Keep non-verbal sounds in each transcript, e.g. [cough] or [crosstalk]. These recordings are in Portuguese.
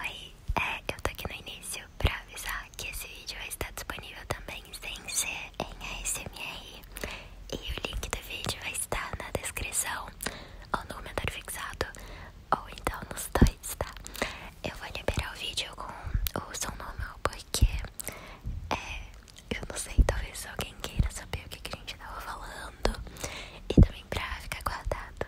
Oi, é, eu tô aqui no início pra avisar que esse vídeo vai estar disponível também sem ser em ASMR E o link do vídeo vai estar na descrição, ou no comentário fixado, ou então nos dois, tá? Eu vou liberar o vídeo com o som normal porque, é, eu não sei, talvez alguém queira saber o que, que a gente tava falando E também pra ficar guardado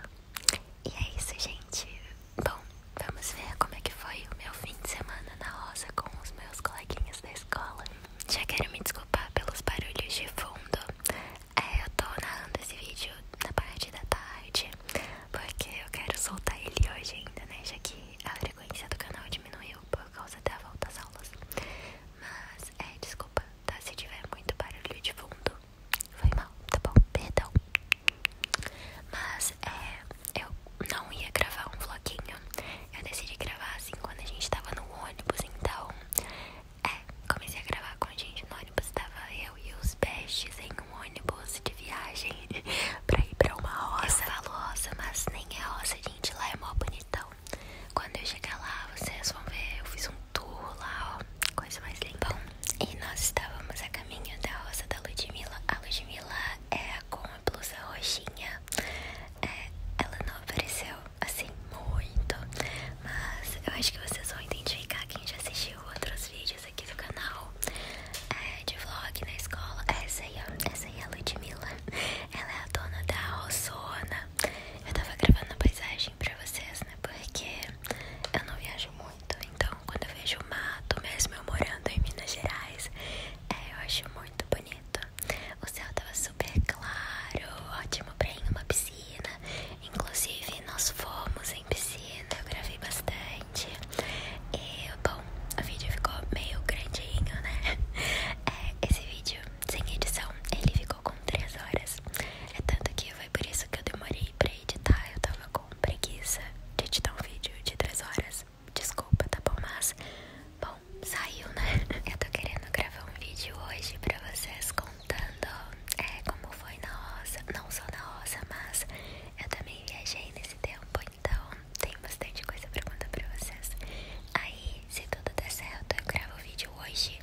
e é isso, gente. Bom, vamos ver como é que foi o meu fim de semana na rosa com os meus coleguinhas da escola. Já quero me desculpar pelos barulhos de fundo. É, eu tô narrando esse vídeo na parte da tarde, porque eu quero soltar ele hoje ainda, né? Já que a frequência do canal diminuiu por causa da volta às aulas. Mas, é, desculpa, tá? Se tiver muito barulho de fundo. Foi mal, tá bom? Perdão. Mas é, eu não ia gravar um vloginho Eu decidi gravar assim quando a gente tava no ônibus, então. É, comecei a gravar com a gente no ônibus. Tava eu e os bestes em um ônibus de viagem [laughs] pra ir pra uma roça. Eu falo roça, mas nem é roça, gente. Lá é mó bonitão. Quando eu chegar lá, vocês vão ver. Eu fiz um Tula, ó, coisa mais linda. e nós estávamos a caminho da rosa da Ludmilla. A Ludmilla é com a blusa roxinha. É, ela não apareceu assim muito, mas eu acho que vocês vão identificar quem já assistiu outros vídeos aqui do canal é, de vlog na escola. Essa aí, essa é a Ludmilla. Ela é a dona da Rossona. Eu tava gravando a paisagem pra vocês, né? Porque eu não viajo muito, então quando eu vejo o mato, mesmo eu morando em Minas Gerais, é, eu acho muito bonito. O céu tava super claro, ótimo pra ir numa piscina. Inclusive, nós fomos em piscina, eu gravei bastante. E, bom, o vídeo ficou meio grandinho, né? [laughs] É, esse vídeo sem edição, ele ficou com 3 horas. É tanto que foi por isso que eu demorei pra editar. Eu tava com preguiça de editar um vídeo de 3 horas. Desculpa, tá bom? Mas, bom, saiu, né? [laughs] Eu tô querendo gravar um vídeo hoje pra vocês contando é, como foi na roça. Não só na roça, mas eu também viajei nesse tempo, então tem bastante coisa pra contar pra vocês. Aí, se tudo der certo, eu gravo o vídeo hoje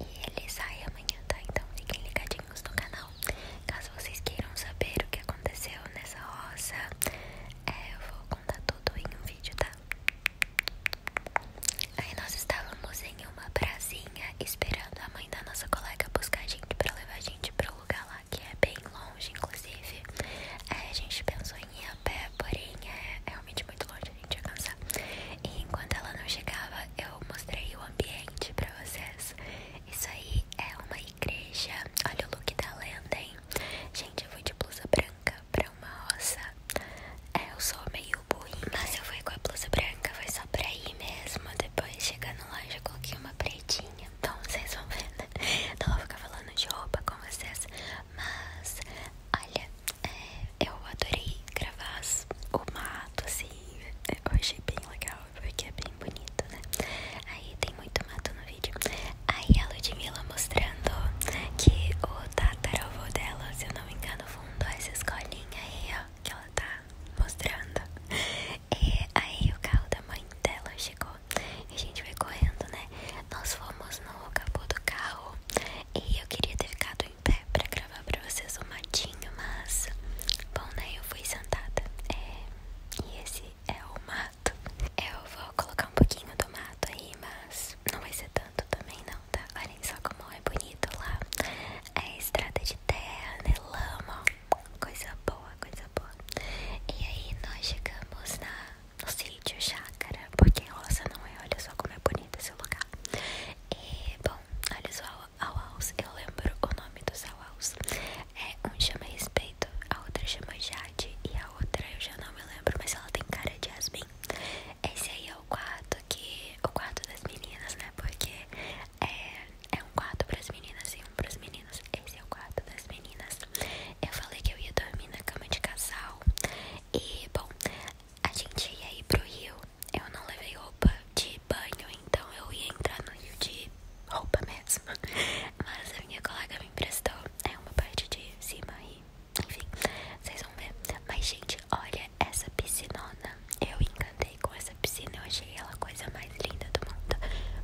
e ele sai amanhã, tá? Então fiquem ligadinhos no canal. Caso vocês queiram saber o que aconteceu nessa roça, é, eu vou contar tudo em um vídeo, tá? Aí nós estávamos em uma pracinha esperando a mãe da nossa colega buscar a gente pra levar a gente pro lugar lá que é bem longe, inclusive. Aí é, a gente pensou em ir a pé, porém é realmente muito longe, a gente ia E enquanto ela não chegava, eu mostrei o ambiente pra vocês. Isso aí é uma igreja. Olha o look da lenda, hein? Gente, eu fui de blusa branca pra uma roça. É, eu sou meio burrinha, mas eu fui com a blusa branca, foi só pra ir mesmo. Depois, chegando lá, já coloquei uma pretinha. Então, vocês vão ver, né? Não vou ficar falando de roupa com vocês, mas olha, é, eu adorei gravar o mato, assim, eu achei bem legal, porque é bem bonito, né? Aí tem muito mato no vídeo. Aí a Ludmilla mostrando que o tataravô dela, se eu não me engano, fundou essa escolinha aí, ó, que ela tá mostrando. aí o carro da mãe dela chegou e a gente foi correndo, né? Nós fomos no capô do carro e eu queria ter ficado sentado pé pra gravar pra vocês o matinho, mas. Bom, né? Eu fui sentada. É. E esse é o mato. Eu vou colocar um pouquinho do mato aí, mas não vai ser tanto também, não, tá? olha só como é bonito lá. É estrada de terra, né? Lama, coisa boa, coisa boa. E aí nós chegamos na, no sítio chácara, porque roça não é, olha só como é bonito esse lugar. E, bom Bom, olha os auaus, eu lembro o nome dos auaus. É, um chama Respeito, a outra chama Jade e a outra eu já não me lembro, mas ela tem cara de Jasmine. Esse aí é o quarto que. O quarto das meninas, né? Porque é, é um quarto pras meninas e um pros meninos. Esse é o quarto das meninas. Eu falei que eu ia dormir na cama de casal. E bom, a gente ia ir pro Rio eu não levei roupa de banho, então eu ia entrar no rio de roupa mesmo. [laughs] Mas a minha colega me emprestou. É uma parte de cima e enfim, vocês vão ver. Mas, gente, olha essa piscinona. Eu encantei com essa piscina. Eu achei ela a coisa mais linda do mundo.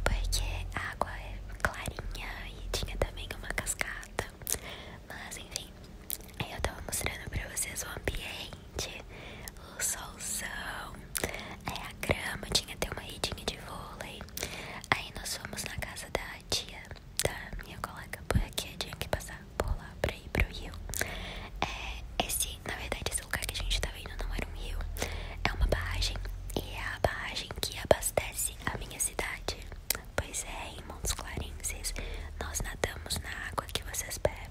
Porque a água é clarinha e tinha também uma cascata. Mas enfim, Aí eu tava mostrando pra vocês o ambiente, o solzão, é, a grama, tinha até uma redinha de vôlei. Aí nós fomos na casa da tia da minha colega, porque tinha que passar por lá pra ir pro rio. É, esse, na verdade, esse lugar que a gente tava indo não era um rio, é uma barragem. E é a barragem que abastece a minha cidade. Pois é, em Montes Clarins, nós nadamos na água que vocês bebem.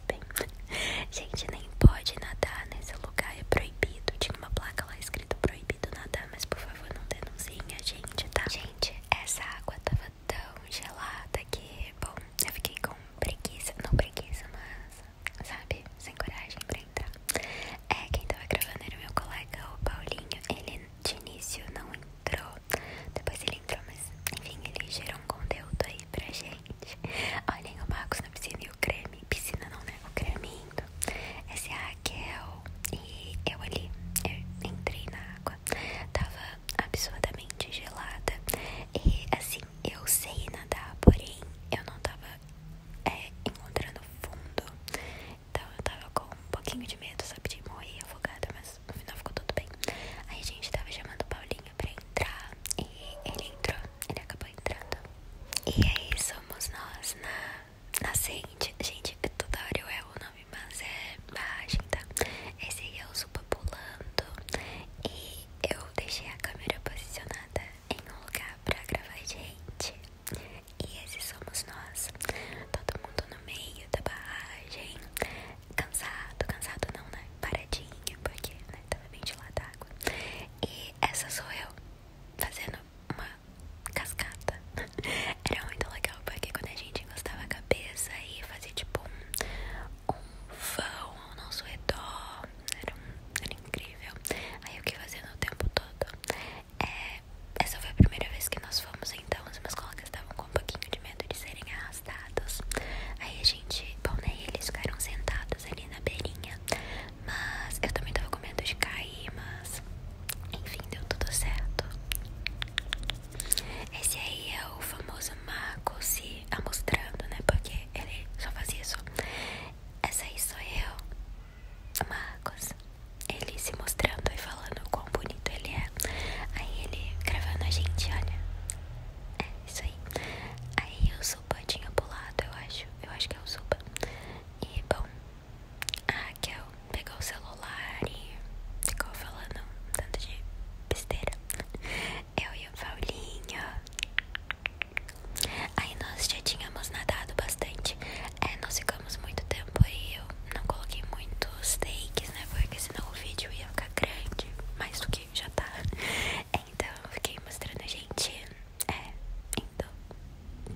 Gente, nem pode nadar nesse lugar, é proibido. Tinha uma placa lá escrito proibido nadar, mas por favor não denunciem a gente, tá? Gente, essa água tava tão gelada que, bom, eu fiquei com preguiça, não preguiça, mas, sabe, sem coragem pra entrar. É, quem tava gravando era o meu colega, o Paulinho, ele de início não entrou depois ele entrou, mas enfim, ele gerou um conteúdo aí pra gente. Olhem o Marcos na piscina e o creme. Piscina não, né? O creme indo. Essa é a Raquel. E eu ali, eu entrei na água. Tava absurdamente gelada. E assim, eu sei nadar, porém eu não tava é, encontrando fundo. Então eu tava com um pouquinho de medo, sabe, de morrer afogada, mas no final ficou tudo bem. Aí a gente tava chamando o Paulinho pra entrar e ele entrou, ele acabou entrando. E aí somos nós na nascente. Gente, é toda hora eu erro o nome, mas é barragem, tá? Esse aí é o Zupa pulando. E eu deixei a câmera posicionada em um lugar pra gravar gente. E esses somos nós. Todo mundo no meio da barragem cansado, cansado não, né? Paradinha, porque né, tava bem de lá d'água. E essa sou eu fazendo uma cascata. [laughs] Era muito legal, porque quando a gente encostava a cabeça e fazia tipo um, um vão ao nosso redor, era, incrível. Aí o que fazia no tempo todo. É, essa foi a primeira vez que nós fomos, então os meus estavam com um pouquinho de medo de serem arrastados. Aí a gente, bom, né? Eles ficaram sentados ali na beirinha. Mas eu também tava com medo de cair, mas enfim, deu tudo certo. Esse aí é o famoso Marco se mostrando, né? Porque ele só fazia isso. Essa aí sou eu, Marcos. Ele se mostrando e falando com o quão é. Aí ele gravando a gente, olha. É, isso aí. Aí o Zuba tinha pulado, eu acho. Eu acho que é o Zuba. E bom, a Raquel pegou o celular e ficou falando um tanto de besteira. Eu e o Paulinho. Aí nós já tínhamos nadado bastante. É, nós ficamos muito tempo e eu não coloquei muitos takes, né? Porque senão o vídeo ia ficar grande mais do que já tá. É, então eu fiquei mostrando a gente é, então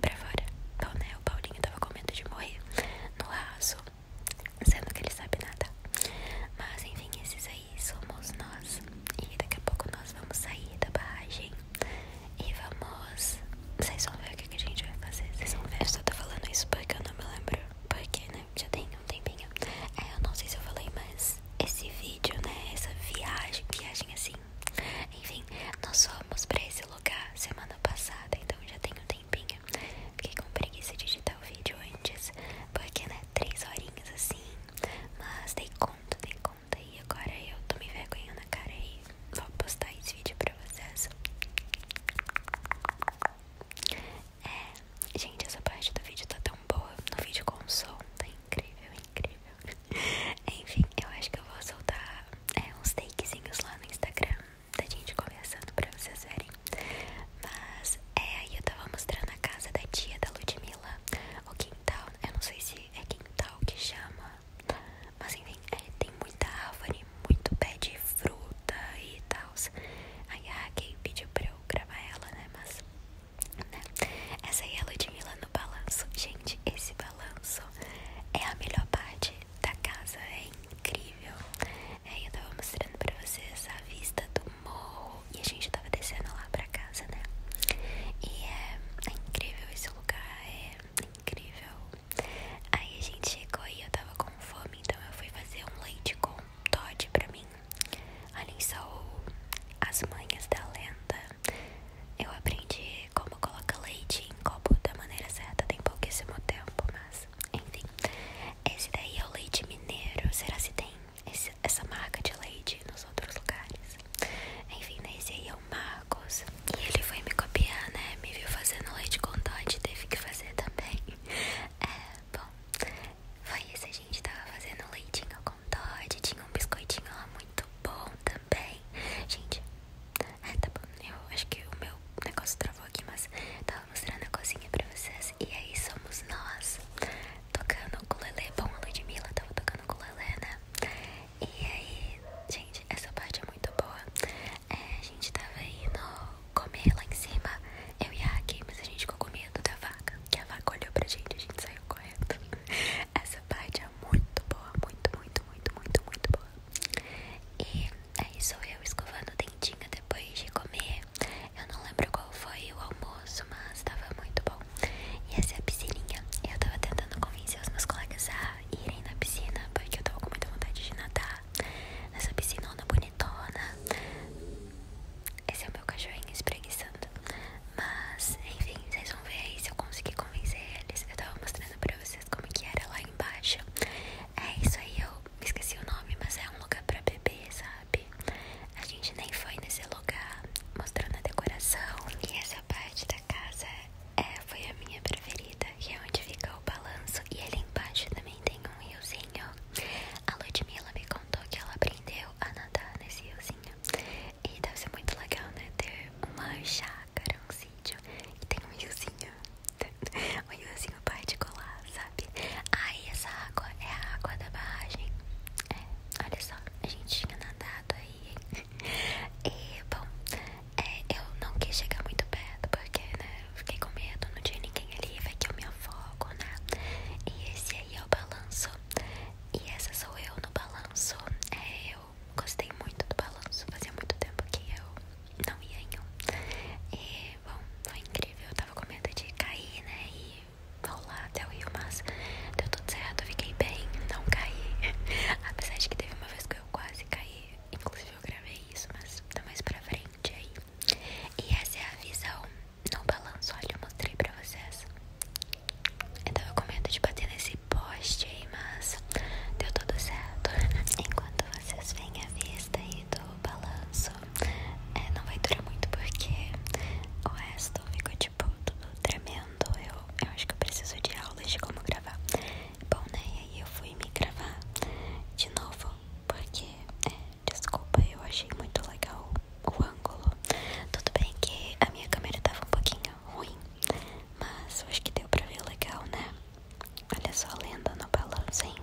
pra fora. Então, né, o Paulinho tava com medo de morrer no laço, sendo que ele sabe nada. Mas enfim, esses aí somos nós. E daqui a pouco nós vamos sair da barragem e vamos. Vocês vão ver o que, a gente vai fazer. Vocês vão ver. Eu só tô falando isso porque eu não me lembro. Porque, né? Já tenho um tempinho. É, eu não sei se eu falei, mas esse vídeo, né? Essa viagem, viagem assim. Enfim, nós fomos pra esse lugar semana passada, então já tem um tempinho. Fiquei com preguiça de digitar o vídeo antes, porque, né? Três horinhas assim. Mas dei conta, dei conta. E agora eu tô me vergonhando na cara e vou postar esse vídeo pra vocês. É, gente, essa parte do vídeo tá tão boa. No vídeo com som, tá incrível, incrível. [laughs] Enfim, eu acho que eu vou soltar é, uns takezinhos lá no Instagram da gente conversando pra vocês verem. Mas, é, aí eu tava mostrando a casa da tia da Ludmilla, o quintal. Eu não sei se é quintal que chama, mas enfim, é, tem muita árvore, muito pé de fruta e tal. Aí a ah, Raquel pediu pra eu gravar ela, né? Mas, né? Essa aí é a Ludmilla no balanço. Gente, esse balanço é a melhor parte da casa. É incrível. aí é, eu tava mostrando pra vocês a vista do morro. E a gente tava descendo lá pra casa, né? E é, é incrível esse lugar. É incrível. Aí a gente chegou e eu tava com fome, então eu fui fazer um leite com Todd pra mim. Olhem só as manhas da lenda. Eu aprendi como colocar leite em copo da maneira certa tem pouquíssimo tempo, mas enfim. Esse daí é o leite mineiro. Será que tem essa marca de leite nos outros lugares? Enfim, né? Esse aí é o Marcos. E ele foi me copiar, né? Me viu fazendo leite com Todd, teve que fazer também. [laughs] É, bom. Foi isso, a gente tava fazendo leitinho com Todd. Tinha um biscoitinho lá muito bom também. Gente, é, tá bom. Eu acho que o meu negócio travou aqui, mas tava mostrando a cozinha pra vocês. E aí somos nós tocando o ukulele. Bom, a Ludmilla tava tocando o ukulele, né? E aí, gente, essa parte é muito boa. É, a gente tava indo comer lá em cima. Eu e a Aki, mas a gente ficou com medo da vaca. Que a vaca olhou pra gente e a gente saiu correndo. [laughs] Essa parte é muito boa, muito, muito, muito, muito, muito boa. E aí é sou eu escovando o dentinho depois de comer. Eu não lembro qual foi o almoço, mas tava muito bom. E essa é a piscininha. Eu tava tentando convencer os meus colegas a irem na piscina, porque eu tava com muita vontade de nadar nessa piscinona bonitona. Esse é o meu cachorrinho espreguiçando. Mas, enfim, vocês vão ver aí se eu conseguir convencer eles. Eu tava mostrando pra vocês como que era lá embaixo. É isso aí, eu esqueci o nome, mas é um lugar pra beber, sabe? A gente nem foi nesse lugar, mostrando a decoração. E essa parte da casa é, foi a minha preferida, que é onde fica o balanço. E ali embaixo também tem um riozinho. A Ludmilla me contou que ela aprendeu a nadar nesse riozinho. E deve ser muito legal, né? Ter uma chácara, um sítio e tem um riozinho. [laughs] um riozinho particular, sabe? Aí essa água é a água da barragem. É, olha só, a gente tinha nadado aí, hein? [laughs] E, bom, é, eu não quis chegar muito perto porque, né? Fiquei com medo, não tinha ninguém ali, vai que eu me afogo, né? E esse aí é o balanço. E essa sou eu no balanço. É, eu gostei muito do balanço. Fazia muito tempo que eu não ia em um. E, bom, foi incrível. Eu tava com medo de cair, né? E rolar até o rio, mas deu tudo certo. Eu fiquei bem, não caí. [laughs] Apesar de que teve uma vez que eu quase caí. Inclusive eu gravei isso, mas tá mais pra frente aí. E essa é a visão no balanço. Olha, eu mostrei pra vocês. Então, eu tava com medo de bater nesse poste aí, mas deu tudo certo. [laughs] Enquanto vocês veem a vista aí do balanço, é, não vai durar muito porque o resto ficou tipo tudo tremendo. Eu, eu acho que eu preciso de aulas de como gravar. Bom, né? E aí eu fui me gravar de novo porque é, Desculpa, eu achei muito legal o ângulo. Tudo bem que a minha câmera tava um pouquinho ruim, mas eu acho que deu pra ver legal, né? Olha só a lenda no balanço, hein?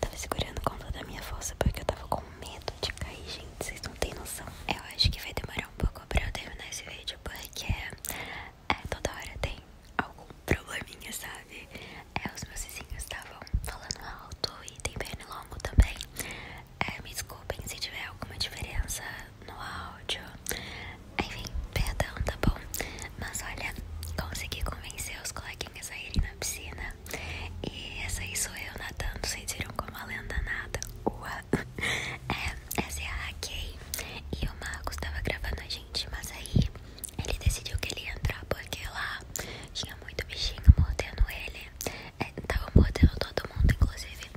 Tava segurando com toda a minha força porque eu tava com medo de cair, gente. Vocês não têm noção. Eu acho que vai demorar um pouco pra eu terminar esse vídeo porque é, toda hora tem algum probleminha, sabe? É, os meus vizinhos estavam falando alto e tem pernilongo também. É, me desculpem se tiver alguma diferença no áudio. Enfim, perdão, tá bom? Mas olha, consegui convencer os coleguinhas a irem na piscina. E essa aí sou eu nadando, vocês viram como a lenda nada. Ua! [laughs] É, essa é a Raquel. E o Marcos tava gravando a gente, mas aí ele decidiu que ele ia entrar porque lá tinha muito bichinho mordendo ele. É, tava mordendo todo mundo, inclusive.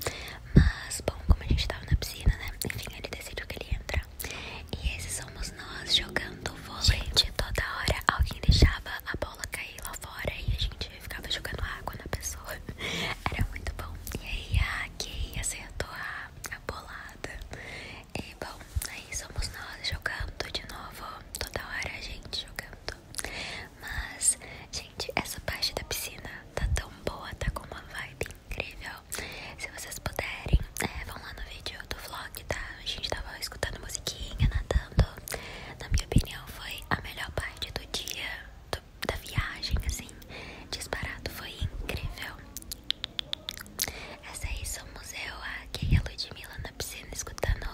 Mas, bom, como a gente tava na piscina, né? Enfim, ele decidiu que ele ia entrar. E esses somos nós jogando vôlei. Gente, toda hora alguém deixava a bola cair lá fora e a gente ficava jogando água na pessoa. [laughs] Era muito bom. E aí a Kay acertou a bolada. E bom, aí somos nós jogando de novo. Toda hora a gente jogando. Mas, gente, essa parte da piscina tá tão boa, tá com uma vibe incrível. Se vocês puderem, é, vão lá no vídeo do vlog, tá? A gente tava escutando musiquinha, nadando. Na minha opinião, foi a melhor parte do dia, da viagem, assim. Disparado, foi incrível. Essa aí somos eu, a Kay e a Ludmilla na piscina escutando.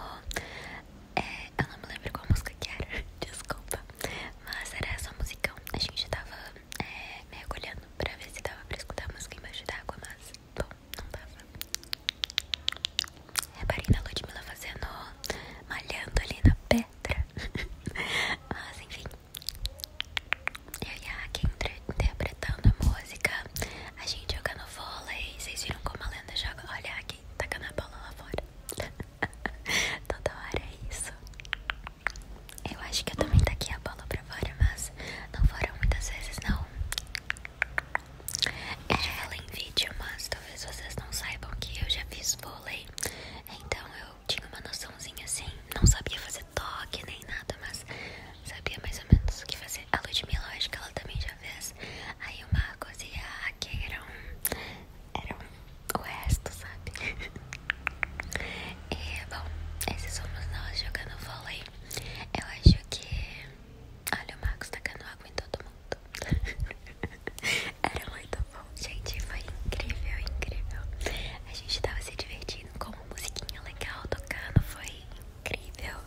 É, eu não me lembro qual música que era, [laughs] desculpa. Mas era essa musicão. A gente tava é, mergulhando pra ver se dava pra escutar a música embaixo d'água, mas bom, não dava. Reparei na Ludmilla fazendo. malhando ali na pedra. [laughs] mas enfim. Eu e a Kay interpretando a música a gente jogando vôlei. Vocês viram como a Lenda joga? Olha aqui, tacando a bola lá fora. [laughs] Toda hora é isso. Eu acho que eu também taquei a bola pra fora, mas não foram muitas vezes, não. é ela em vídeo, mas talvez vocês não saibam que eu já fiz vôlei. Então eu tinha uma noçãozinha assim, não sabia fazer toque nem nada, mas sabia mais ou menos o que fazer. A Ludmilla, acho que ela também já fez. Aí o Marcos e a Raquel eram, eram o resto, sabe? e, bom, esses somos nós jogando vôlei. Eu acho que... Olha o Marcos tacando água em todo mundo. [laughs] Era muito bom, gente. Foi incrível, incrível. A gente tava se divertindo com uma musiquinha legal tocando. Foi incrível.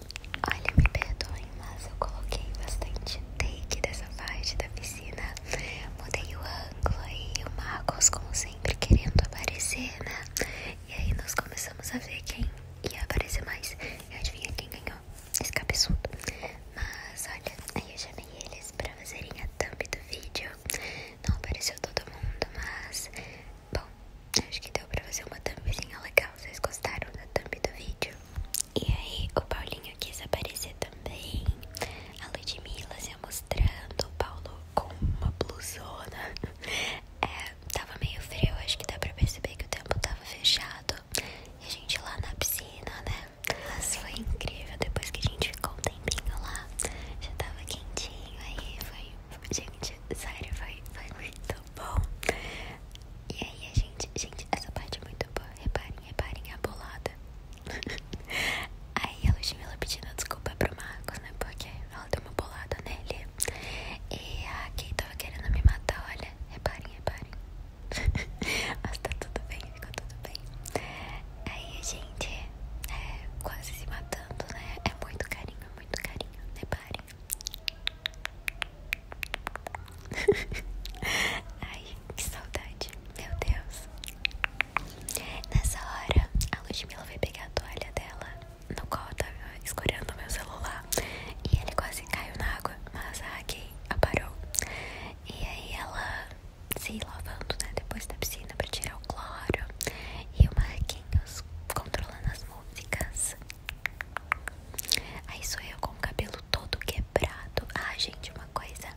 Olha, me perdoem, mas eu coloquei bastante take dessa parte da piscina. Mudei o ângulo aí, o Marcos, como sempre, querendo aparecer, né? E aí nós começamos a ver quem ia aparecer mais. E adivinha quem ganhou? Esse cabeçudo. Mas olha, aí eu chamei eles pra fazerem a thumb do vídeo. Não apareceu todo mundo, mas Bom, acho que deu pra fazer uma thumbzinha legal. Vocês gostaram da thumb do vídeo? E aí, o Paulinho quis aparecer também. A Ludmilla se mostrando. O Paulo com uma blusona. [laughs] É, tava meio frio. Acho que dá pra perceber que o tempo tava fechado. E a gente lá na piscina, né? Mas foi incrível. Depois que a gente ficou um tempinho lá, já tava quentinho. Aí foi. Gente, sério, foi muito Tá bom. E aí, gente, gente, essa parte é muito boa. Reparem, reparem a bolada. [laughs] aí a Ludmilla pedindo desculpa pro Marcos, né? Porque ela deu uma bolada nele. E a Kay tava querendo me matar, olha. Reparem, reparem. [laughs] Mas tá tudo bem, ficou tudo bem. Aí a gente é, quase se matando, né? É muito carinho, é muito carinho. Reparem. [laughs] Ai, que saudade. Meu Deus. Nessa hora, a Ludmilla vai pegar a toalha dela, no qual eu tava escorando meu celular. E ele quase caiu na água, mas a Raquel aparou. E aí ela se lavando, né, depois da piscina para tirar o cloro. E o Marquinhos controlando as músicas. Aí sou eu com o cabelo todo quebrado. Ah, gente, uma coisa.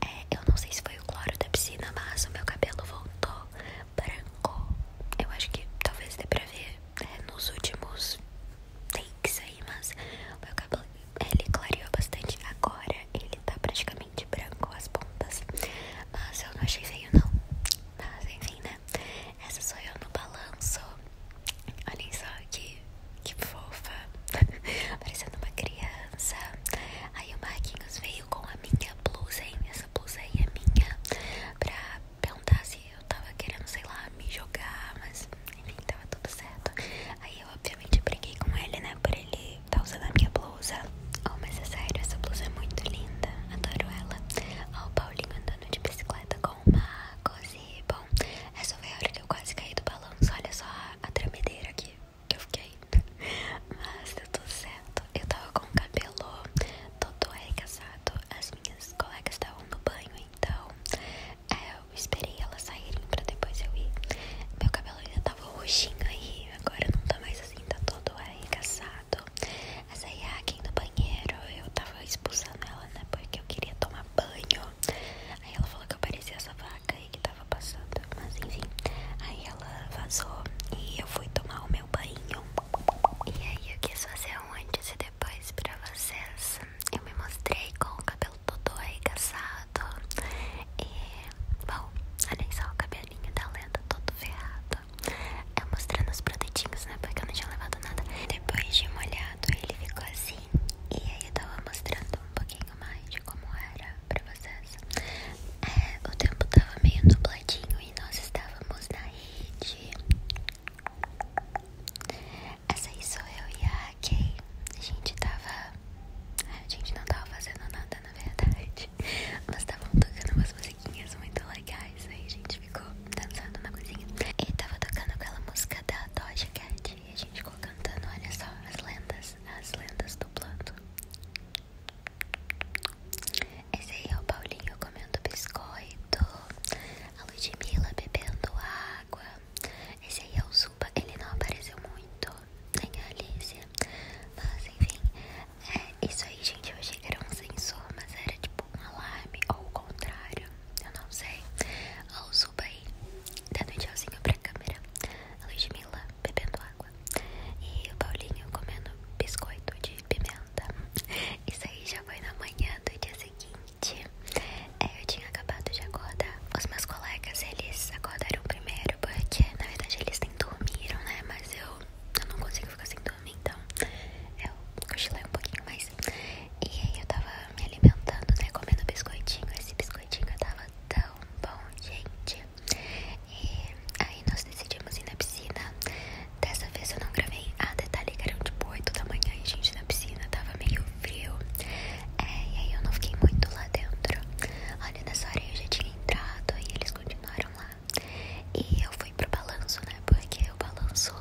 É, eu não sei se foi o cloro da piscina, mas o meu cabelo voltou branco. Eu acho que talvez dê pra ver é, nos últimos takes aí, mas o meu cabelo ele clareou bastante. Agora ele tá praticamente branco as pontas. Mas eu não achei feio, não. Mas enfim, né? Essa sou eu no balanço. Olhem só que, que fofa. [laughs] Parecendo uma criança. Aí o Marquinhos veio com a minha blusa, hein? Essa blusa aí é minha. Pra perguntar se eu tava querendo, sei lá, me jogar. Mas enfim, tava tudo certo. Aí eu, obviamente, briguei com ele, né? Por ele tá usando a minha blusa. Oh, mas é sério, essa blusa é muito linda. Adoro ela. Ó, o Paulinho andando de bicicleta com uma Marcos bom, essa foi a hora que eu quase caí do balanço. Olha só a tremedeira aqui que eu fiquei. [laughs] Mas deu tudo certo. Eu tava com o cabelo todo arregaçado. As minhas colegas estavam no banho, então é, eu esperei elas saírem pra depois eu ir. Meu cabelo ainda tava roxinho aí, agora não tá mais assim, tá todo arregaçado. Essa Yakin é do banheiro, eu tava expulsando ela, né? Porque eu queria tomar banho. Aí ela falou que eu parecia essa vaca aí que tava passando. Mas enfim, aí ela vazou e eu fui tomar o meu banho. E aí eu quis fazer um antes e depois pra vocês. Eu me mostrei com o cabelo todo aí arregaçado. E, bom, olhem só o cabelinho da lenda todo ferrado. Eu é, mostrando os produtinhos, né, porque eu não tinha levado nada Depois de molhado ele ficou assim E aí eu tava mostrando um pouquinho mais de como era pra vocês é, O tempo tava meio nubladinho e nós estávamos na rede Essa aí sou eu e a Kay A gente tava... É, a gente não tava fazendo nada, na verdade Mas tava tocando umas musiquinhas muito legais. Aí a gente ficou dançando uma coisinha. E tava tocando aquela música da Dodge Cat. E a gente ficou cantando, olha só, as lendas, as lendas do plano. Esse aí é o Paulinho comendo biscoito. A Ludmilla bebendo água. Esse aí é o Zuba, ele não apareceu muito, nem a Alice Mas enfim, é Isso aí, gente, eu achei que era um sensor, mas era tipo um alarme ou o contrário. Eu não sei. Ou suba aí, dando tá um tchauzinho pra câmera. A Ludmilla bebendo água. E o Paulinho comendo biscoito de pimenta. [laughs] Isso aí já foi na manhã do dia seguinte. É, eu tinha acabado de acordar. Os meus colegas, eles acordaram primeiro, porque na verdade eles nem dormiram, né? Mas eu eu não consigo ficar sem dormir, então eu cochilei um pouquinho mais. E aí eu tava me alimentando, né? Comendo biscoitinho. Esse biscoitinho tava tão bom, gente. E aí nós decidimos ir na piscina. Dessa vez eu não gravei. Ah, detalhe que eram tipo 8 da manhã e gente na piscina tava meio frio. É, e aí eu não fiquei muito lá dentro. Olha, nessa hora eu já tinha entrado e eles continuaram lá. E eu fui pro balanço, né? Porque o balanço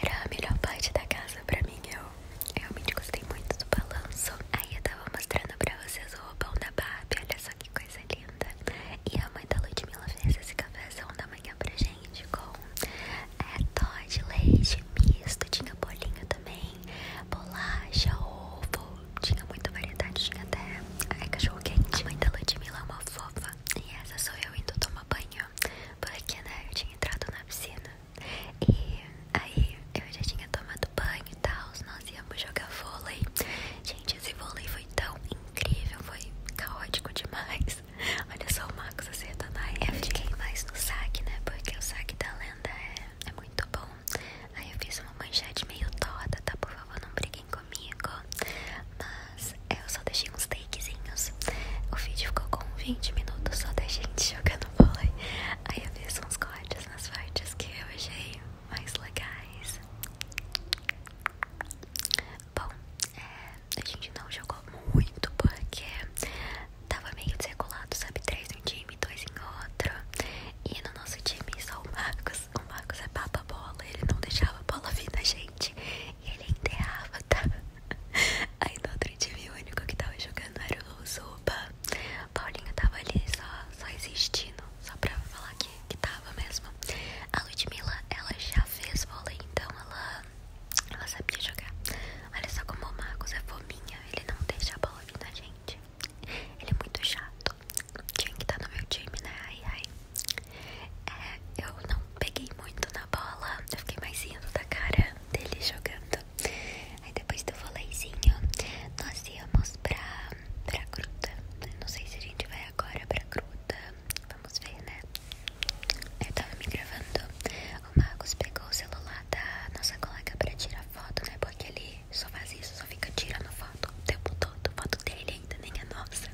era a melhor parte da casa pra mim. Eu realmente gostei muito do balanço. Aí eu tava mostrando pra vocês o roupão da Barbie. Olha só que coisa linda. E a mãe da Ludmilla fez esse cafézão da manhã pra gente com é, leite misto. Tinha bolinho também, bolacha, ovo. Tinha muita variedade. Tinha até é, cachorro quente. A mãe da Ludmilla é uma fofa e essa sou eu indo tomar banho, porque né, eu tinha entrado na piscina e aí eu já tinha tomado banho e tal, nós íamos jogar vôlei. Gente, esse vôlei foi tão incrível, foi caótico demais. [laughs] Olha só o Max acertando aí Eu fiquei mais no saque, né, porque o saque da lenda é, é muito bom. Aí eu fiz uma manchete meio toda tá? Por favor, não brinque comigo. Mas eu só deixei uns takezinhos. O vídeo ficou com 20 minutos só da gente jogando vôlei. Aí eu fiz uns cortes nas partes que eu achei mais legais. Bom, é, a gente não jogou muito porque tava meio desregulado, sabe? Três em um time, dois em outro. E no nosso time só o Marcos Marcos. O Marcos é papa bola, ele não deixava a bola vir na gente. ele enterrava, tá? Aí no outro time o único que tava jogando era o Zuba. Paulinho tava ali só, só existindo, só pra falar que, que tava mesmo. A Ludmilla, ela já fez bola então ela, ela sabia jogar. Olha só como o Marcos é fominha, ele não deixa a bola vir na gente. Ele é muito chato. tinha que tá no meu time, né? Ai, ai. É, eu não peguei muito na bola, eu fiquei mais indo da cara dele jogando. Aí depois do voleizinho, nós íamos pra, pra gruta. Não sei se a gente vai agora pra gruta, vamos ver, né? Eu tava me gravando, o Marcos pegou o celular da nossa colega pra tirar foto, né? Porque ele só faz isso, só fica tirando foto o tempo todo, foto dele ainda, nem a é nossa.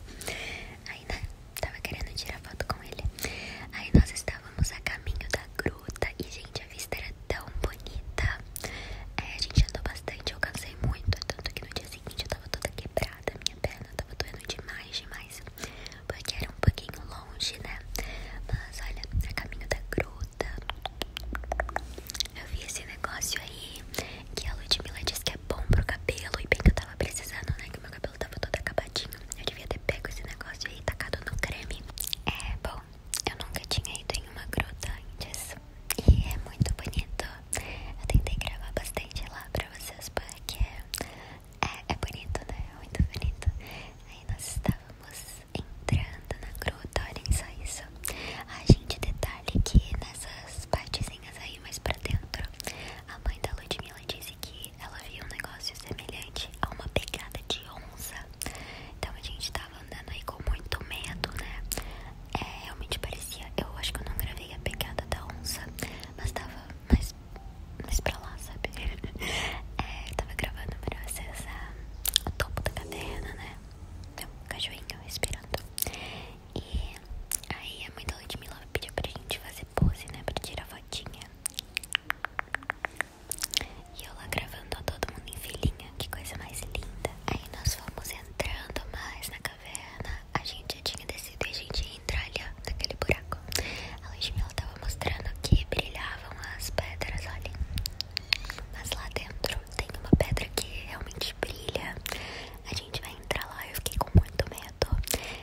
Tava querendo tirar foto com ele. Aí nós estávamos a caminho da gruta e, gente, a vista era tão bonita. É, a gente andou bastante, eu cansei muito. Tanto que no dia seguinte eu tava toda quebrada, minha perna tava doendo demais, demais. Porque era um pouquinho longe, né? Mas olha, a caminho da gruta. Eu vi esse negócio aí que a Ludmilla disse que é bom pro cabelo e bem que eu tava precisando, né? Que meu cabelo tava todo acabadinho. Eu devia ter pego esse negócio aí e tacado no creme. É, bom, eu nunca tinha ido em uma gruta antes. E é muito bonito. Eu tentei gravar bastante lá pra vocês, porque é, é bonito, né? É muito bonito. Aí nós estávamos entrando na gruta, olhem só isso. A gente, detalhe que nessas partezinhas aí mais pra dentro. A mãe da Ludmilla disse que ela viu um negócio semelhante a uma pegada de onça. Então a gente tava andando aí com muito medo, né? É, realmente parecia. Eu acho que eu não gravei a pegada da onça, mas tava mais, mais pra lá, sabe? [laughs] é, tava gravando pra vocês a, ah, o topo da caverna, né? Meu cachorrinho respirando. E aí a mãe da Ludmilla pediu pra gente fazer pose, né? Pra tirar fotinha. E eu lá gravando ó, todo mundo em filhinha, que coisa mais linda. Aí nós fomos entrando mais na caverna. A gente tinha descido e a gente ia entrar ali, ó, naquele buraco. A Ludmilla tava mostrando que brilhavam as pedras, olhem. Mas lá dentro tem uma pedra que realmente brilha a gente vai entrar lá. Eu fiquei com muito medo.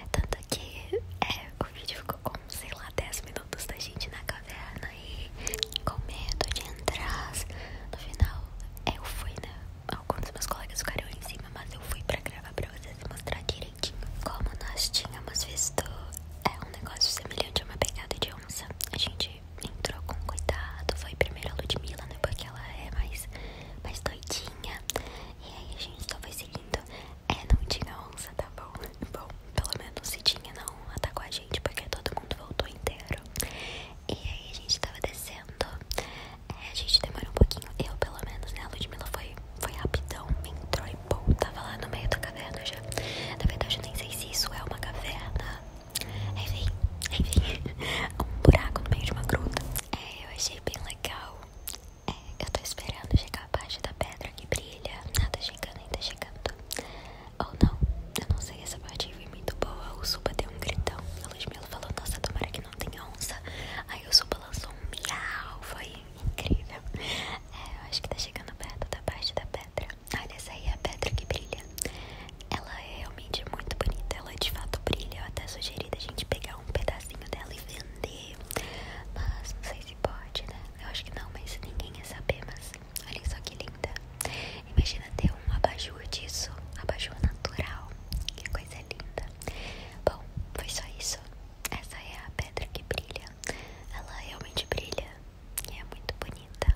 Tanto que é, o vídeo ficou com, sei lá, 10 minutos da gente na caverna e com medo de entrar. No final, é, eu fui, né? Alguns dos meus colegas ficaram em cima, mas eu fui pra gravar pra vocês mostrar direitinho. Como nós tínhamos visto, é um negócio semelhante a uma pegada de onça. A gente entrou com cuidado. Foi primeiro a Ludmilla, né? Porque ela é mais, mais doidinha e aí a gente só foi seguindo. É, não tinha onça, tá bom? Bom, pelo menos se tinha, não atacou tá a gente, porque todo mundo voltou inteiro. E aí a gente tava descendo. É, a gente demorou um pouquinho. Eu, pelo menos, né? A Ludmilla foi, foi rapidão, entrou e pô, tava lá no meio da caverna já. Na verdade, eu nem sei se isso é uma caverna. Enfim, enfim, [laughs] um buraco no meio de uma gruta. É, eu achei bem legal. É, eu tô esperando chegar a da pedra que brilha. Nada chegando, ainda chegando. Ou não, eu não sei, essa parte foi muito boa. O Supa deu um gritão. A Ludmilla falou, nossa, tomara que não tem onça. Aí o Supa lançou um miau. Foi incrível. É, eu acho que tá chegando perto da parte da pedra. Olha, essa aí é a pedra que brilha. Ela é é muito bonita. Ela de fato brilha. Eu até sugeri da gente pegar um pedacinho dela e vender. Mas não sei se pode, né? Eu acho que não, mas ninguém ia saber. Mas olhem só que linda. Imagina ter um abajur disso. Abajur natural. Que coisa linda. Bom, foi só isso. Essa é a pedra que brilha. Ela realmente brilha. E é muito bonita.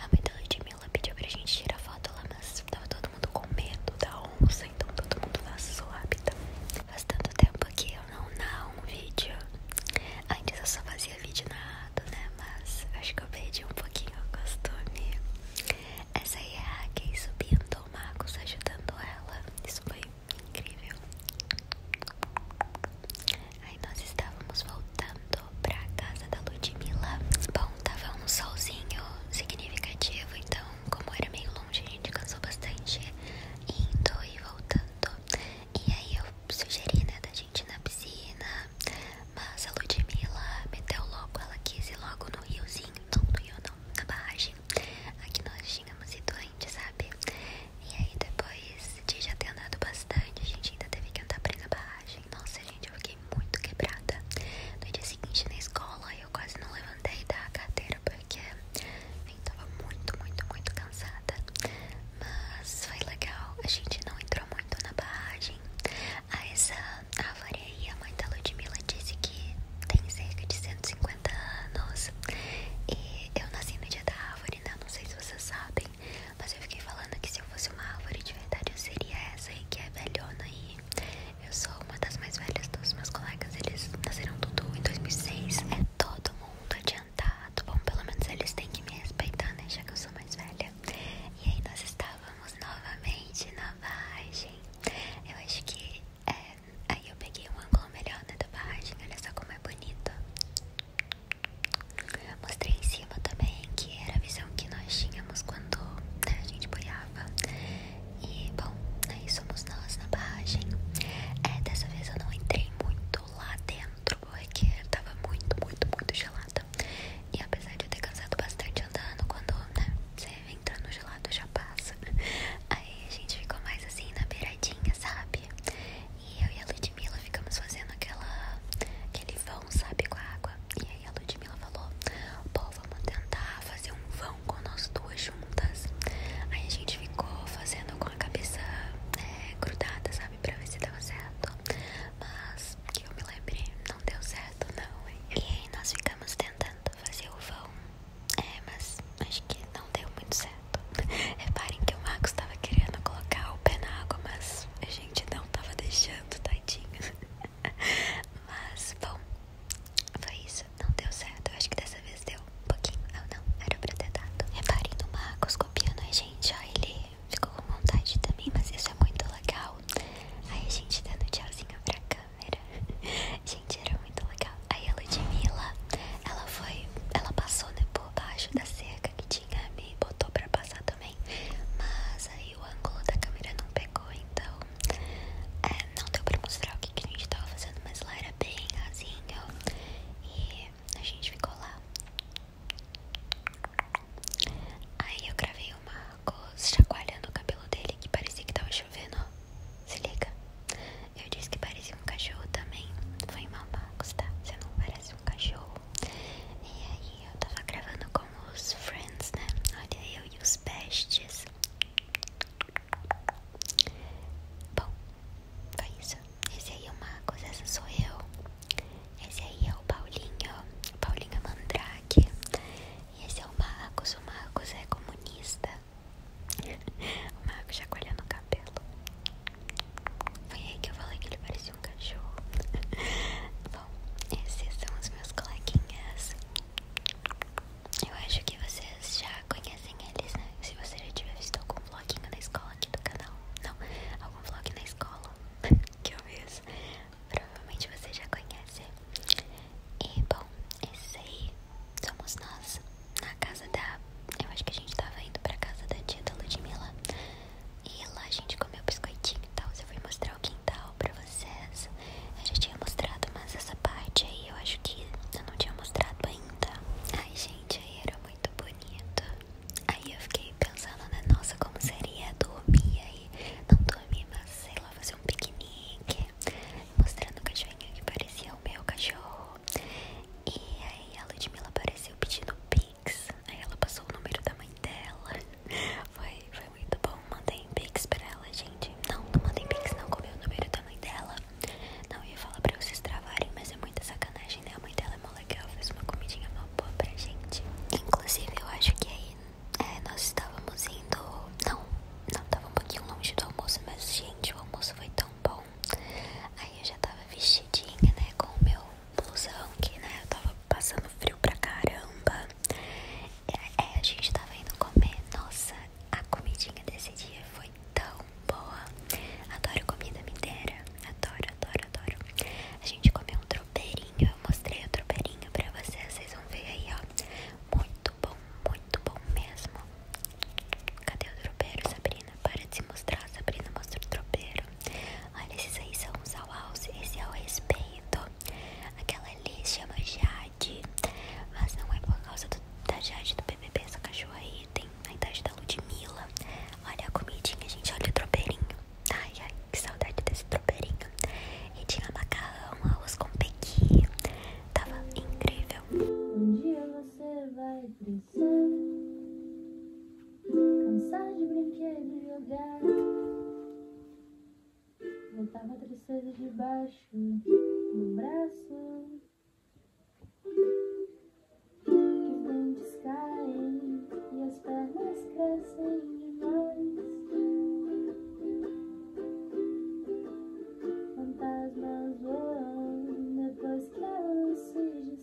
A mãe da Ludmilla pediu pra gente tirar foto lá, mas tava todo mundo com medo da onça, então todo mundo nasceu rápido. Faz tanto tempo que eu não narro um vídeo. Antes eu só fazia vídeo narrado, né? Mas acho que eu perdi um pouquinho o costume. Essa é a Kay subindo, o Marcos ajudando ela. Isso foi incrível. Aí nós estávamos voltando pra casa da Ludmilla. Bom, tava um solzinho significativo, então, como era meio longe, a gente cansou bastante indo e voltando. E aí eu sugeri, né, da gente ir na piscina, mas a Ludmilla meteu logo, ela quis ir logo no riozinho, não no rio, não, na barragem. Aqui nós tínhamos ido antes, sabe? E aí depois de já ter andado bastante, a gente ainda teve que andar pra ir na barragem. Nossa, eu fiquei muito quebrada. No dia seguinte na escola eu quase não levantei da cadeira porque eu tava muito, muito, muito cansada. Mas foi legal, a gente não entrou muito na barragem. A essa árvore aí, a mãe da Ludmilla disse que tem cerca de 150 anos. E eu nasci no dia da árvore, né? Não sei se vocês sabem. Mas eu fiquei falando que se eu fosse uma árvore de verdade, eu seria essa aí que é velhona aí eu sou uma das mais velhas dos meus colegas. Eles nasceram tudo em 2006. É todo mundo adiantado. Bom, pelo menos eles têm que me respeitar, né? Já que eu sou mais velha. E aí nós estávamos novamente na barragem. Eu acho que é, Aí eu peguei um ângulo melhor né, da barragem. Olha só como é bonito. Mostrei em cima também que era a visão que nós tínhamos quando né, a gente boiava. E bom, aí né, somos nós na barragem. É, dessa vez eu não entrei muito lá dentro porque tava muito, muito, muito gelada. E apesar de eu ter cansado bastante andando, quando né, você entra no gelado já passa. [laughs] Aí a gente ficou mais assim na beiradinha, sabe? E eu e a Ludmilla ficamos fazendo aquela, aquele vão, sabe, com a água. E aí a Ludmilla falou: pô, vamos tentar fazer um vão com nós duas juntas. Aí a gente ficou fazendo com a cabeça é, grudada, sabe, pra ver se deu certo. Mas que eu me lembre não deu certo, não, hein? E aí nós ficamos tentando fazer o vão, é, mas acho que não deu muito certo. [laughs] Reparem que o Marcos tava querendo colocar o pé na água, mas eu gente não tava deixando, tadinho. [laughs] Mas, bom, foi isso. Não deu certo. Eu acho que dessa vez deu um pouquinho. Ou ah, não, era pra ter dado. Reparem no Marcos copiando a gente. Ó, ele ficou com vontade também, mas isso é muito legal. Aí gente dando tchauzinho pra câmera. [laughs] gente, era muito legal. Aí a Ludmilla, ela foi, ela passou né, por baixo da cerca que tinha me botou pra passar também. Mas aí o ângulo da câmera não pegou, então é, não deu pra mostrar o que, que a gente tava fazendo, mas lá era bem rasinho e a gente ficou lá. Aí eu gravei o Marcos chacoalhando o cabelo dele que parecia que tava chovendo. Se liga. Eu disse que parecia um cachorro também. Foi mal, Marcos, tá? Você não parece um cachorro. E aí eu tava gravando com os friends, né? Olha eu e os bestes Bom, foi isso. Esse aí é o Marcos, essa sou eu. Esse aí é o Paulinho, o Paulinho Mandrake. E esse é o Marcos, o Marcos é comunista. [laughs] o Marcos já colhendo o cabelo. Foi aí que eu falei que ele parecia um cachorro. [laughs] Bom, esses são os meus coleguinhas. Eu acho que vocês já conhecem eles, né? Se você já tiver visto algum vloginho na escola aqui do canal. Não, algum vlog na escola [laughs] que eu fiz. Provavelmente você já conhece. E bom, esses aí somos nós na casa da. Eu acho que a gente tava indo pra casa da tia da Ludmilla. E lá a gente comeu biscoitinho e tal. Eu fui mostrar o quintal pra vocês. Eu já tinha mostrado, mas essa parte aí eu acho que eu não tinha mostrado ainda. Ai, gente, aí era muito bonito. Aí eu fiquei pensando, né? Nossa, como seria dormir aí? Não dormir, mas sei lá, fazer um piquenique. Mostrando o cachorrinho que parecia o meu cachorro. E aí a Ludmilla apareceu pedindo pi. Aí ela passou o número da mãe dela. Foi, foi muito bom. Mandei Pix pra ela, gente. Não, não mandei Pix, não. comi o número da mãe dela. Não ia falar pra vocês travarem, mas é muita sacanagem, né? A mãe dela é mó legal. Fez uma comidinha mó boa pra gente. Inclusive, eu acho que aí é, nós estávamos indo. Não, não, tava um pouquinho longe do almoço, mas, gente, o almoço foi tão bom. Aí eu já tava vestidinha, né? Com blusão que, né, eu tava passando frio pra caramba. É, é, a gente tava indo comer. Nossa, a comidinha desse dia foi tão boa. Adoro comida mineira. Adoro, adoro, adoro. A gente comeu um tropeirinho. Eu mostrei o tropeirinho pra vocês. Vocês vão ver aí, ó. Muito bom, muito bom mesmo. Cadê o tropeiro, Sabrina? Para de se mostrar, Sabrina. Mostra o tropeiro. Olha, esses aí são os ao alce, esse é o respeito. Aquela ali chama é Jade, mas não é por causa do, da Jade do BBB. Essa cachorra aí tem a idade da Ludmilla. Olha a comidinha, gente, olha o tropeirinho. Ai, que saudade desse tropeirinho. E tinha macarrão, arroz com pequi. Tava incrível. Um dia você vai precisar Cansar de brinquedo e jogar Voltava a tristeza baixo no braço Que os dentes caem e as pernas crescem demais Fantasmas voam depois que eu luz se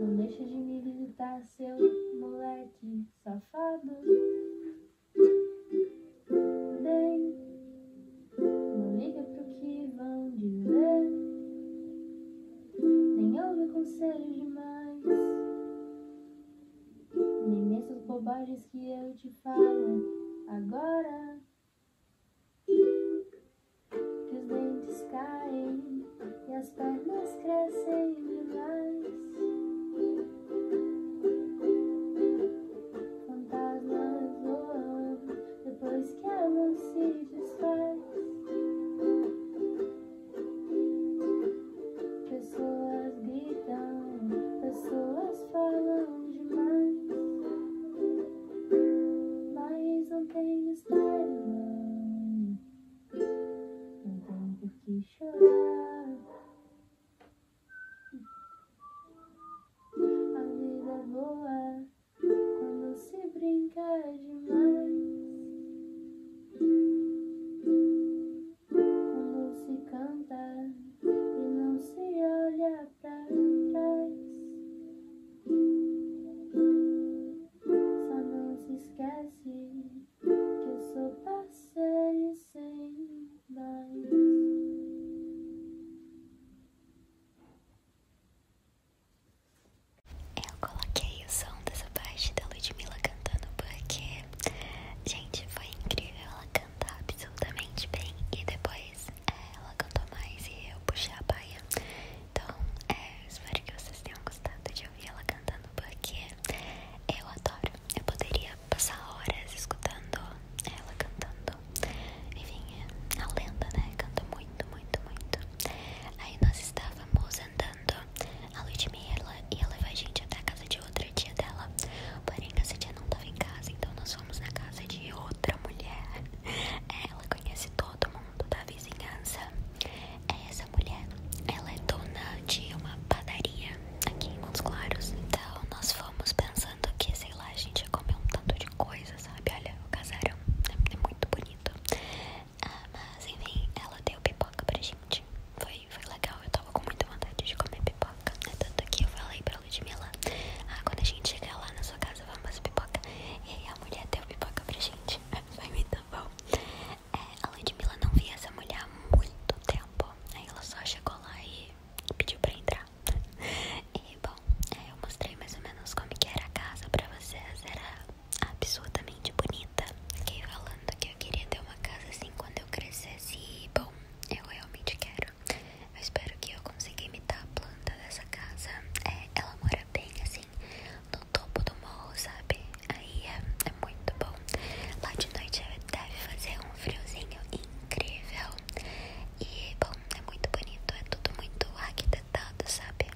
Não deixa de me visitar, seu moleque safado. Nem, não liga pro que vão dizer, nem ouve conselhos demais, nem nessas bobagens que eu te falo agora. Que os dentes caem e as pernas crescem demais. Fantasmas voam depois que a luz se desfaz. Pessoas gritam, pessoas falam demais. Mas não tem mistério, não. Então por que chorar? A vida é boa quando se brinca demais. Quando se cantar e não se olha pra trás. Só não se esquece que eu sou parceiro sem mais. Eu coloquei o som dessa parte da Ludmilla cantando porque, gente, foi incrível. Ela canta absolutamente bem e depois é, ela cantou mais e eu puxei a baia. Então, é, espero que vocês tenham gostado de ela cantando porque eu adoro. Eu poderia passar horas escutando ela cantando. Enfim, é a lenda, né? Canta muito, muito, muito. Aí nós estávamos andando. A Ludmilla ela ia levar a gente até a casa de outra tia dela. Porém, essa tia não estava em casa, então nós fomos na casa de outra mulher. [laughs] Ela conhece todo mundo mundo da vizinhança é essa mulher. Ela é dona de uma padaria aqui em Montes Claros. Então nós fomos pensando que, sei lá, a gente ia comer um tanto de coisa, sabe? Olha, o casarão é, é muito bonito. Ah, mas enfim, ela deu pipoca pra gente. Foi, foi legal, eu tava com muita vontade de comer pipoca. Né? Tanto que eu falei pra Ludmilla: Ah, quando a gente chegar lá na sua casa, vamos fazer pipoca. E aí a mulher deu pipoca pra gente. vai me dar bom? É, a Lady Mila não via essa mulher há muito tempo, aí ela só chegou lá e pediu pra entrar. [laughs] E bom, é, eu mostrei mais ou menos como era a casa pra vocês, era absolutamente bonita. Fiquei falando que eu queria ter uma casa assim quando eu crescesse e bom, eu realmente quero. Eu espero que eu consiga imitar a planta dessa casa. É, ela mora bem assim no topo do morro, sabe? Aí é, é, muito bom. Lá de noite deve fazer um friozinho incrível. E, bom, é muito bonito, é tudo muito arquitetado, sabe?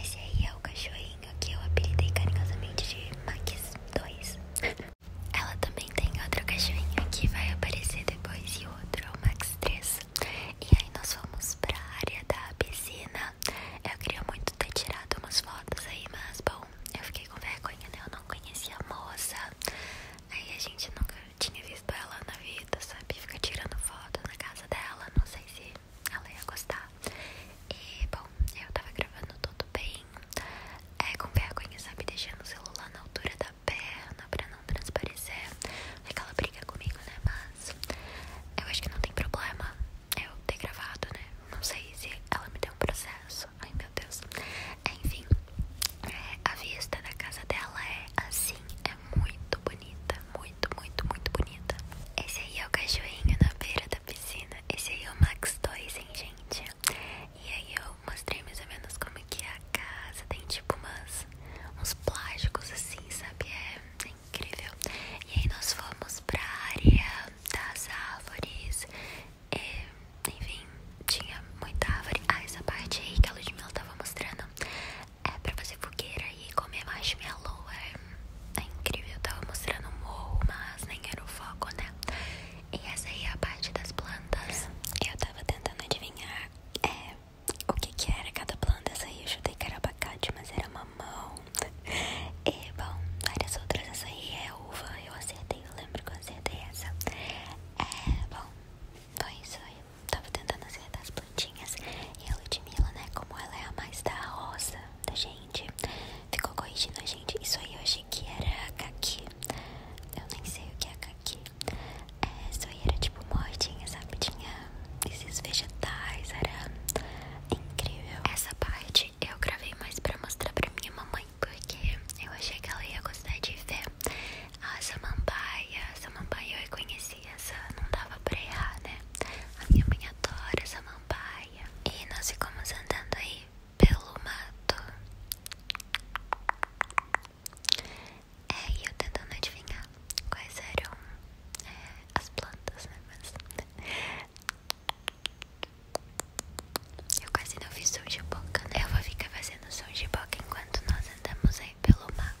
Esse aí é o cachorrinho que eu apelidei carinhosamente de Max 2. [laughs] Ela também tem outro cachorrinho que vai aparecer depois e outro é Max 3. E aí nós fomos pra área da piscina. Eu queria muito ter tirado umas fotos aí, mas bom, eu fiquei com vergonha, né? Eu não conhecia a moça. Aí a gente nunca tinha visto ela na vida, sabe? Fica tirando foto na casa dela, não sei se ela ia gostar. E bom, eu tava gravando tudo bem. É com vergonha, sabe? Deixando o celular na altura da perna pra não transparecer. Aquela briga comigo, né? Mas eu acho que não tem problema eu ter gravado, né? Não sei se ela me deu um processo. Ai meu Deus. Enfim, é, a vista da casa dela é assim, é muito bonita, muito, muito, muito bonita. Esse aí é o cachorrinho na beira da piscina. Esse aí é o Max 2, hein, gente? E aí eu mostrei mais ou menos como que é a casa. Tem tipo umas, uns plásticos assim, sabe? É, incrível. E aí nós fomos pra área das árvores. enfim, tinha muita árvore. Ah, essa parte aí que a Ludmilla tava mostrando é pra fazer fogueira e comer marshmallow. É, é incrível, tava mostrando um morro, mas nem era o foco, né? E essa aí é a parte das plantas. Eu tava tentando adivinhar é, o que que era cada planta. Essa aí eu chutei que era abacate, mas era uma mamão. E bom, várias outras. Essa aí é uva. Eu acertei, eu lembro que eu acertei essa. É bom, foi isso aí. Tava tentando acertar as plantinhas. E a Ludmilla, né? Como ela é a mais da rosa da gente, ficou corrigindo a gente. Isso aí eu achei que era caqui. Eu nem sei o que é caqui. É, isso aí era tipo mordinha, sabe? Tinha esses vegetais, era incrível. Essa parte eu gravei mais pra mostrar pra minha mamãe, porque eu achei que ela ia gostar de ver a samambaia. A samambaia eu reconhecia, não dava pra errar, né? A minha mãe adora samambaia. E nós ficamos andando aí pelo mato. É, e eu tentando adivinhar quais eram é, as plantas, né? Mas. Eu quase não fiz som de boca. Né? Eu vou ficar fazendo som de boca enquanto nós andamos aí pelo mato.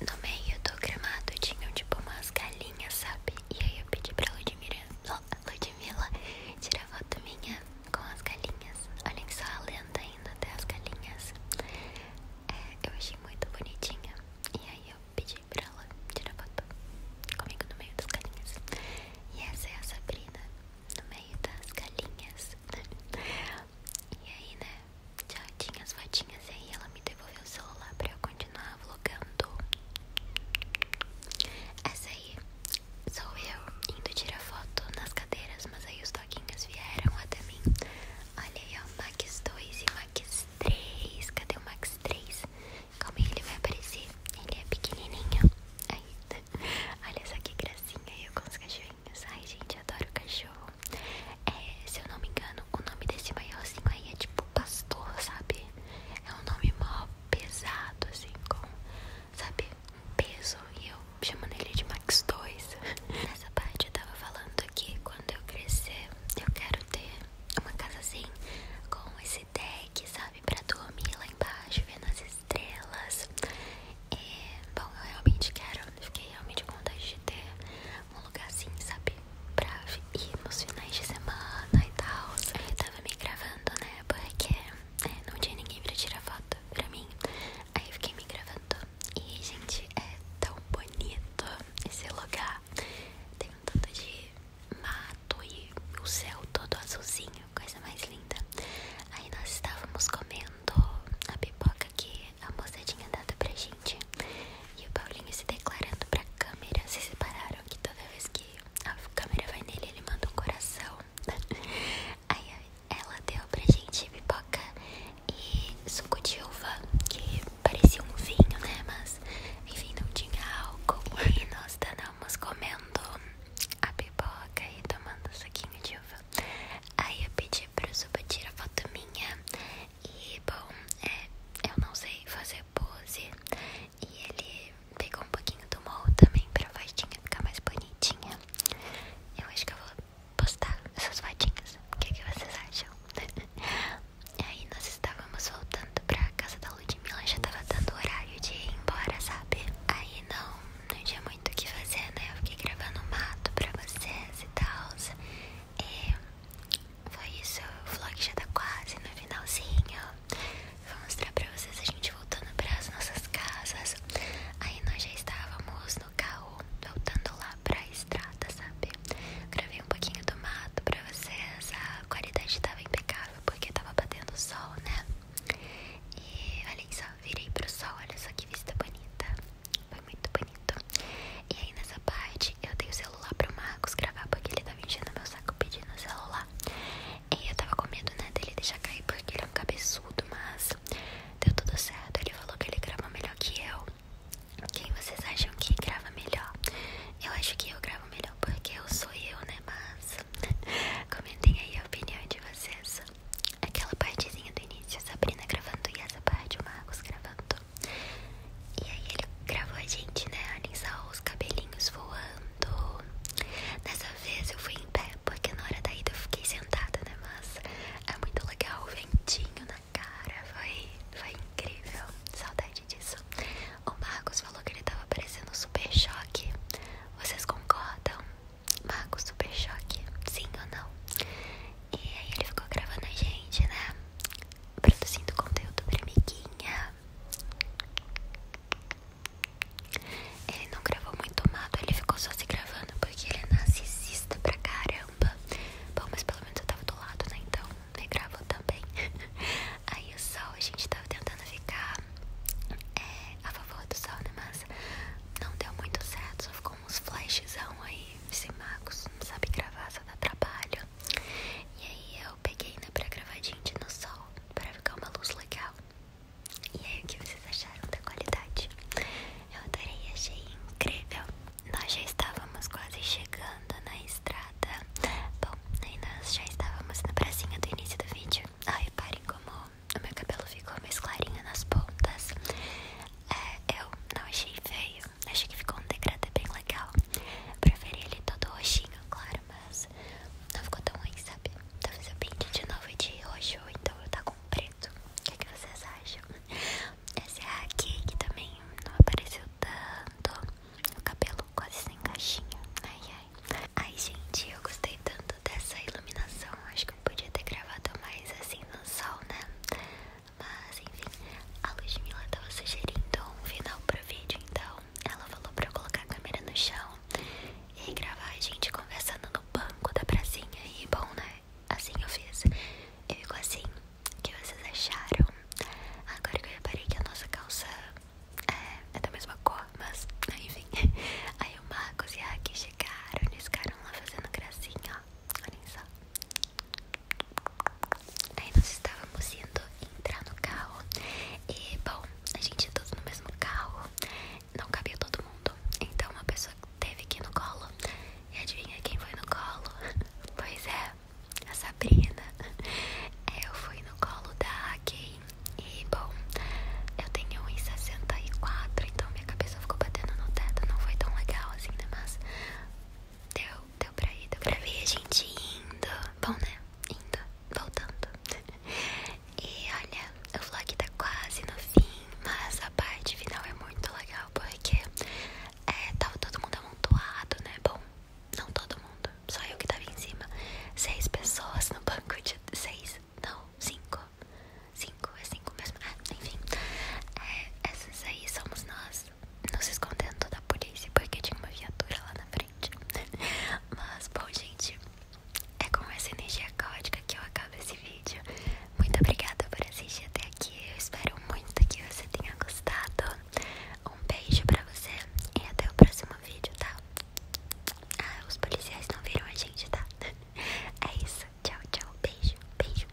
No meio do gramado tinham tipo umas galinhas, sabe? E aí eu pedi pra Ludmilla, Ludmilla tirar foto minha com as galinhas. Olhem só a lenda ainda até as galinhas. É, eu achei muito bonitinha. E aí eu pedi pra ela tirar foto comigo no meio das galinhas. E essa é a Sabrina, no meio das galinhas. [laughs] e aí, né? Já tinha as fotinhas mas aí ela me devolveu o celular pra eu continuar vlogando. Essa aí sou eu indo tirar foto nas cadeiras, mas aí os toquinhos vieram até mim. Olha aí, ó, Max 2 e Max 3. Cadê o Max 3? como ele vai aparecer. Ele é pequenininho. Aí, [laughs] olha só que gracinha eu com os cachorrinhos. Ai, gente, adoro cachorro. É, se eu não me engano, o nome desse maiorzinho aí é tipo pastor, sabe? É um nome mó pesado, assim, com, sabe, um peso. E eu chamando ele de Max 2. [laughs] Nessa parte eu tava falando que quando eu crescer, eu quero ter uma casa assim, com esse deck, sabe, pra dormir lá embaixo, vendo as estrelas. E, é, bom, eu realmente quero, fiquei realmente com vontade de ter um lugar assim, sabe? Pra ir nos finais de semana e tal. Eu tava me gravando, né? Porque é, não tinha ninguém pra tirar foto pra mim. Aí eu fiquei me gravando. E, gente, é tão bonito esse lugar. Tem um tanto de mato e o céu todo azulzinho, coisa mais linda. Aí nós estávamos comendo a pipoca que a moça tinha dado pra gente. E o Paulinho se declarando pra câmera. se separaram que toda vez que a câmera vai nele, ele manda um coração. [laughs] Aí ela deu pra gente pipoca e suco de uva, que parecia um vinho, né? Mas enfim, não tinha álcool. E nós estávamos comendo a pipoca e tomando suquinho de uva. Aí eu pedi pro Zuba tirar foto minha e bom, é, eu não sei fazer pose. E ele pegou um pouquinho do molde também pra vozinha ficar mais bonitinha. Eu acho que eu vou postar essas fotinhas. O que, que vocês acham? [laughs] e Aí nós estávamos voltando pra casa da Ludmilla, já estava dando horário de ir embora, sabe? Aí não, não tinha muito o que fazer, né? Eu fiquei gravando um mato pra vocês e tal. E é, foi isso, o vlog já tá quase no finalzinho. Vou mostrar pra vocês a gente voltando pras nossas casas. Aí nós já estávamos no carro, voltando lá pra estrada, sabe? Gravei um pouquinho do mato pra vocês. A qualidade tava impecável porque tava batendo sol, né? E olha só, virei pro sol, olha só que vista bonita. Foi muito bonito. E aí nessa parte eu dei o celular pro Marcos gravar porque ele tava tá enchendo meu saco pedindo o celular. E eu tava com medo, né, dele deixar cair porque ele é um cabeçudo, mas deu tudo certo. Ele falou que ele grava melhor que eu. Quem vocês acham que grava melhor? Eu acho que eu gravo melhor porque eu sou eu, né? Mas [laughs] comentem aí a opinião de vocês. Aquela partezinha do início, Sabrina gravando e essa parte, o Marcos gravando. E aí ele gravou a gente, né? Alisar os cabelinhos voando. dessa vez eu fui em pé, porque na hora da ida eu fiquei sentada, né? Mas é muito legal, o ventinho na cara. Foi, foi incrível. Saudade disso. O Marcos falou que ele tava parecendo super choque. Vocês concordam? Marcos, super choque. Sim ou não? E aí ele ficou gravando a gente, né? produzindo conteúdo pra amiguinha. Ele não gravou muito mato, ele ficou só se gravando porque ele é narcisista pra caramba. Bom, mas pelo menos eu tava do lado, né? Então ele gravou também. [laughs] Aí o sol, a gente tava tentando ficar é, a favor do sol, né? Mas não deu muito certo, só ficou uns flashzão aí, sem magos, não sabe gravar, só dá trabalho. E aí eu peguei ainda né, pra gravar gente no sol, pra ficar uma luz legal. E aí o que vocês acharam da qualidade? Eu adorei, achei incrível. Nós já estávamos quase chegando na estrada. Bom, aí nós já estávamos na pracinha do início do vídeo. Ah, reparem como o meu cabelo ficou mais clarinho nas pontas. É, eu não achei feio. Acho que ficou um degradê é bem legal. Preferi ele todo roxinho, claro, mas não ficou tão ruim, sabe? Talvez tá eu pinte de novo de roxo, então eu tá com preto. O que, é vocês acham? Essa é a aqui que também não apareceu tanto. O cabelo quase sem caixinha. Ai, ai. Ai, gente, eu gostei tanto dessa iluminação. Acho que eu podia ter gravado mais assim no sol, né? Mas enfim, a Ludmilla tava sugerindo um final pro vídeo, então ela falou pra colocar a câmera no chão e gravar a gente conversando no banco da pracinha. E bom, né? Assim eu fiz. E ficou assim. O que vocês acharam? Agora que eu reparei que a nossa calça é, é da mesma cor, mas enfim. [laughs] Aí o Marcos e a Aki chegaram, eles ficaram lá fazendo gracinha, ó. Olhem só. Aí nós estávamos indo entrar no carro E bom, a gente é todo no mesmo carro Não cabia todo mundo Então uma pessoa teve que ir no colo E adivinha quem foi no colo? [laughs] Pois é, a Sabrina Eu fui no colo da Kay E bom, eu tenho 1,64 Então minha cabeça ficou batendo no teto Não foi tão legal assim, né? Mas deu deu pra ir, deu pra ver a gente indo. Bom, né? Indo, voltando. [laughs] E olha, o vlog tá quase no fim, mas a parte final é muito legal porque é, tava todo mundo amontoado, né? Bom, não todo mundo, só eu que tava em cima. Seis pessoas no banco de. Seis? Não, cinco. Cinco, é cinco mesmo. Ah, enfim, é, essas aí somos nós. Não se escondendo toda a polícia porque tinha uma viatura lá na frente. [laughs] Mas, bom, gente, é com essa energia caótica que eu acabo esse vídeo. Muito obrigada por assistir até aqui. Eu espero muito que você tenha gostado. Um beijo pra você e até o próximo vídeo, tá? Ah, os policiais não viram a gente, tá? [laughs] É isso. Tchau, tchau. Beijo, beijo.